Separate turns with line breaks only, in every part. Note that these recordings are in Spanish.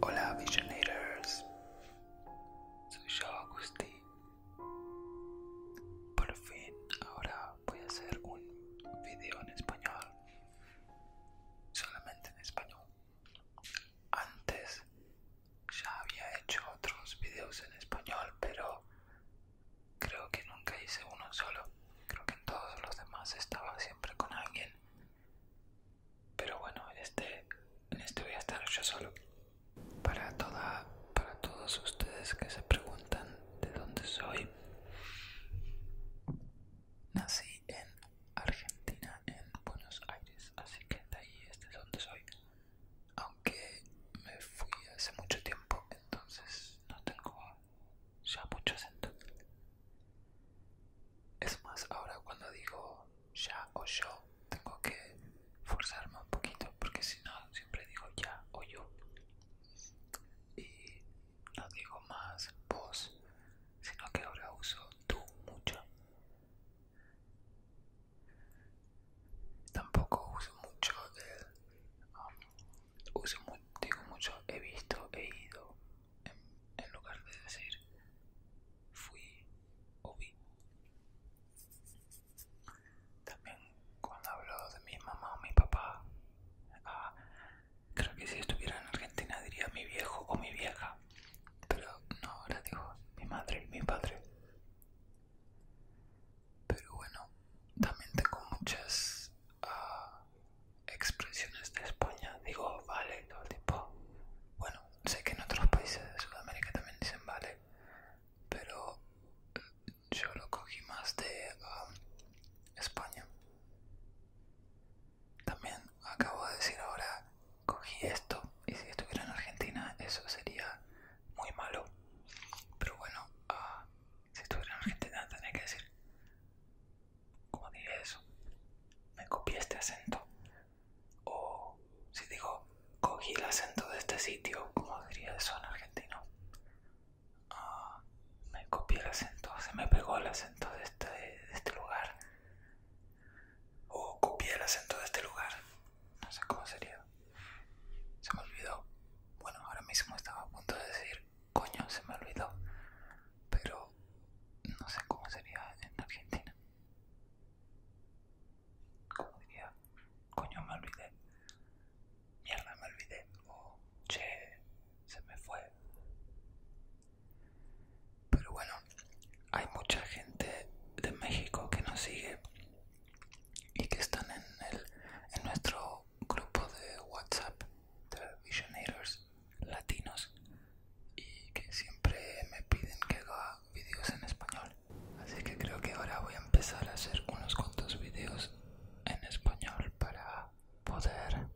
Hola Visionators, soy yo Agustín. Por fin ahora voy a hacer un video en español solamente en español. Antes ya había hecho otros videos en español, pero creo que nunca hice uno solo. Creo que en todos los demás estaba siempre con alguien. Pero bueno, en este, en este voy a estar yo solo. Para, para todos ustedes que se preguntan de dónde soy, nací en Argentina, en Buenos Aires, así que de ahí es de donde soy. Aunque me fui hace mucho tiempo, entonces no tengo ya mucho acento. Es más, ahora cuando digo ya o yo, tengo que forzarme un poquito, porque si no, siempre digo ya o yo. Y no digo más vos, sino que ahora uso tú mucho. Tampoco uso mucho el... Um, uso digo mucho he visto, he ido, en, lugar de decir fui o vi. También cuando hablo de mi mamá o mi papá, ah, Creo que si estuviera en Argentina diría mi viejo o mi vieja. Pero no, ahora digo mi madre y mi padre. Pero bueno, también tengo muchas ah, expresiones de España. Digo, vale, todo el tipo. Bueno, sé que en otros países de Sudamérica también dicen vale. Pero yo lo cogí más de um, España. También acabo de decir ahora, cogí esto y si estuviera en Argentina eso sería muy malo. Pero bueno, ah, si estuviera en Argentina tendría que decir, ¿Cómo diría eso, me copié este acento. O si digo, cogí el acento de este sitio, ¿cómo diría eso en argentino. Ah, me copié el acento, se me pegó el acento de este, de este lugar. O copié el acento de este lugar. No sé cómo sería. Se me olvidó. Bueno, ahora mismo estaba a punto de decir, coño, se me olvidó. Pero no sé cómo sería en Argentina. ¿Cómo diría? Coño, me olvidé mierda, me olvidé, o oh, che, se me fue. Pero bueno, hay mucha gente de México que nos sigue y que están en, el, en nuestro grupo de WhatsApp de latinos y que siempre me piden que haga videos en español. Así que creo que ahora voy a empezar a hacer unos cuantos videos en español para poder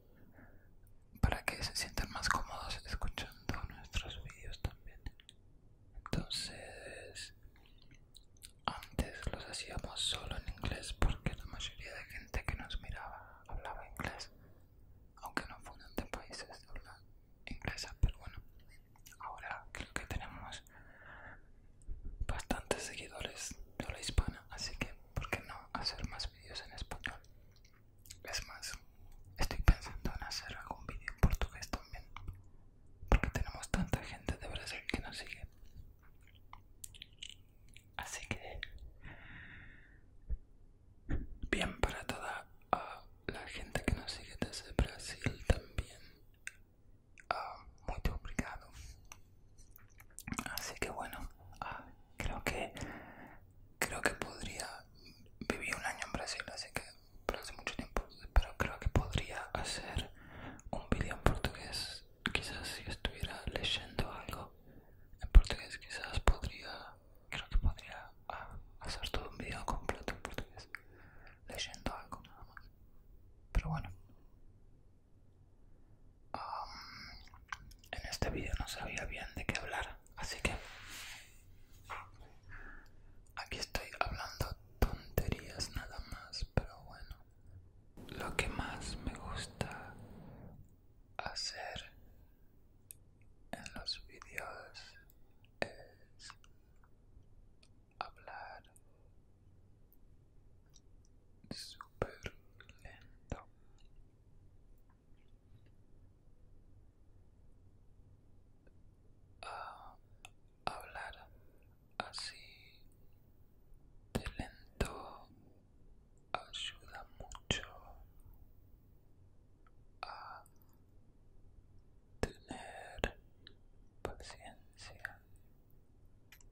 para que se sientan más cómodos escuchando nuestros vídeos también entonces antes los hacíamos solo en inglés porque la mayoría de gente que nos miraba hablaba inglés aunque no fueran de países de habla inglesa pero bueno ahora creo que tenemos bastantes seguidores de la hispana así que por qué no hacer más vídeos en español es más estoy pensando en hacer algún vídeo en portugués también porque tenemos tanta gente de Brasil que nos sigue así que bien para toda ah, la gente que nos sigue desde Brasil también Ah, muy complicado. Así que bueno, ah, creo que creo que podría vivir un año en Brasil, así que pero hace mucho tiempo, pero creo que podría hacer un vídeo en portugués. Quizás si estuviera leyendo algo en portugués, quizás podría, creo que podría ah, hacer todo un vídeo completo en portugués leyendo algo nada más. Pero bueno, en este vídeo no sabía bien de qué hablar, así que aquí estoy hablando tonterías nada más, pero bueno, lo que más me gusta hacer en los vídeos es hablar super lento ah, hablar así de lento ayuda mucho a tener paciencia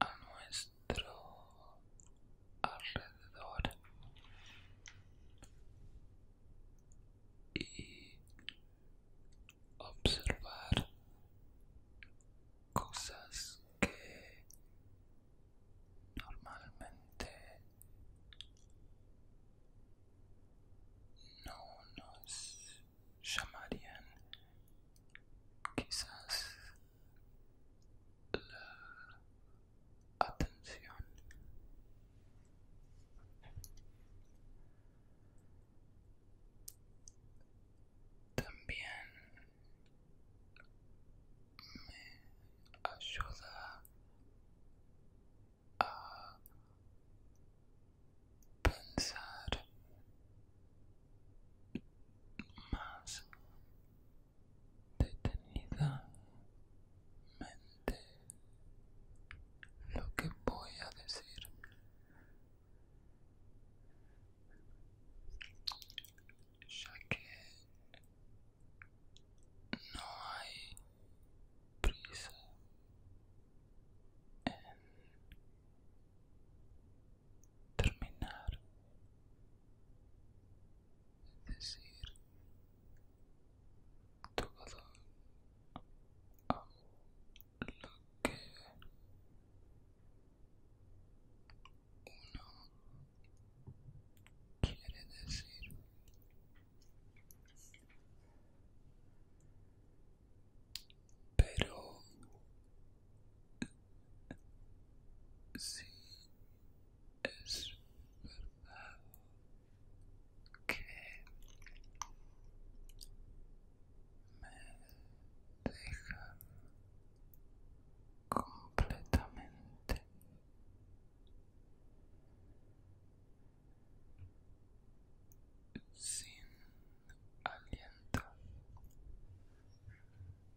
a nuestro alrededor y observar cosas que normalmente no nos llamarían quizás la atención también me ayuda a pensar más detenidamente lo que voy a decir. Ya que no hay prisa en terminar es decir todo lo que uno quiere decir pero Sí, es verdad que me deja completamente. Sin aliento,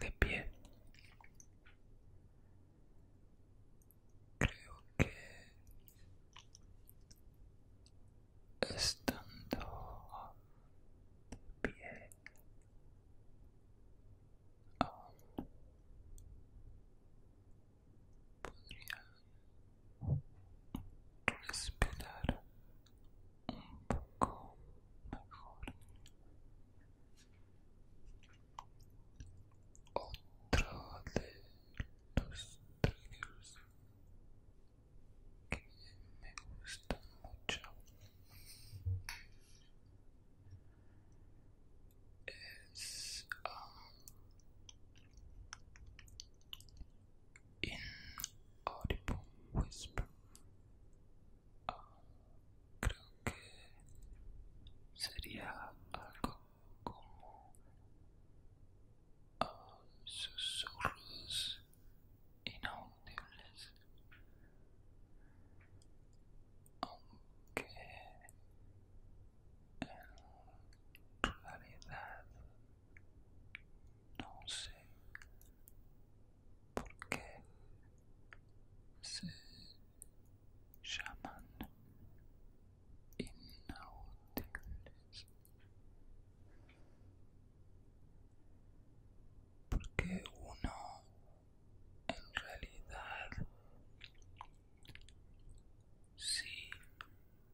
de pie. Creo que estando de pie podría respirar un poco mejor otro de los triggers que me gusta mucho es inaudible whisper. Ah, creo que sería algo como ah, susurros inaudibles. Aunque en claridad no sé por qué se llaman inaudibles, Porque uno en realidad sí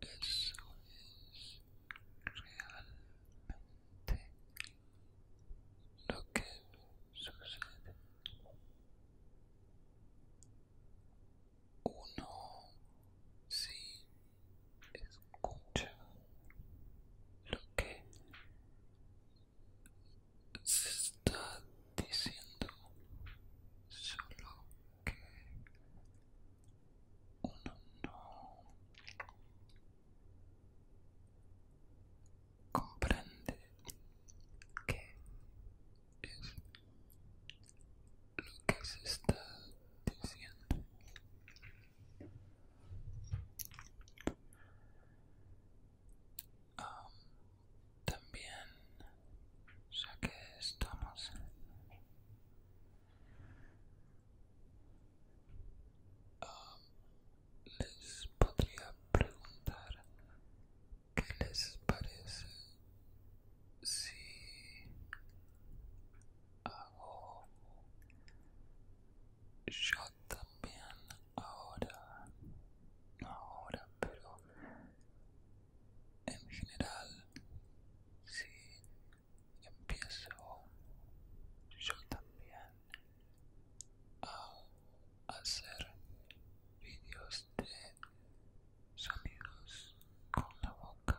eso es realmente lo que sucede. Uno sí escucha lo que se está diciendo, solo que uno no comprende qué es lo que se está diciendo. Ah, también, ya que estamos les podría preguntar qué les parece si hago yo también ahora ahora pero en general si empiezo yo también a hacer vídeos de sonidos con la boca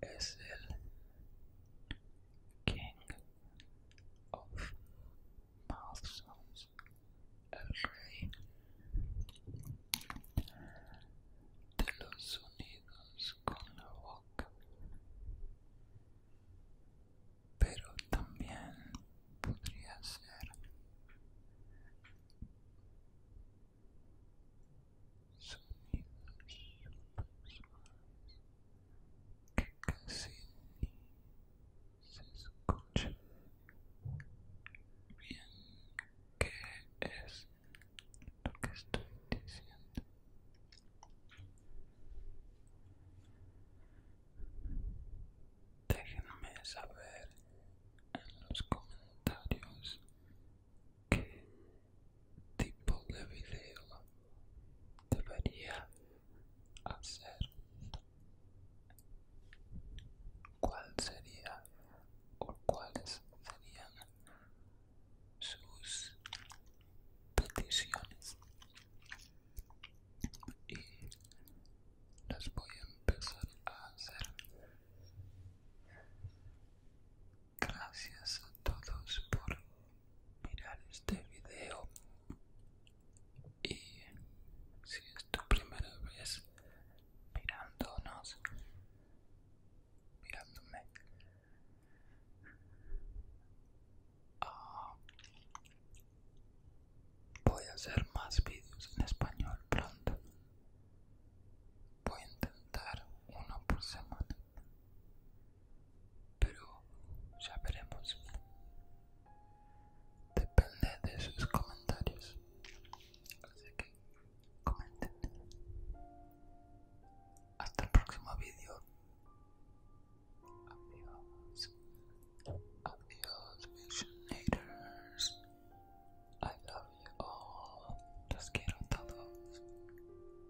es el King of Mouthsounds, el rey de los sonidos con la boca, pero también podría ser sonidos que casi ni se escuchan bien qué es lo que estoy diciendo déjenme saber en los comentarios qué tipo de video debería hacer cuál sería o cuáles serían sus peticiones y las voy a empezar a hacer Gracias a todos por mirar este video y si es tu primera vez mirándonos, mirándome, ah, voy a hacer más vídeos en español pronto. Voy a intentar uno por semana pero ya veremos. Depende de sus comentarios. Así que comenten. Hasta el próximo vídeo. Adiós. Adiós, Visionators. I love you all. Los quiero a todos.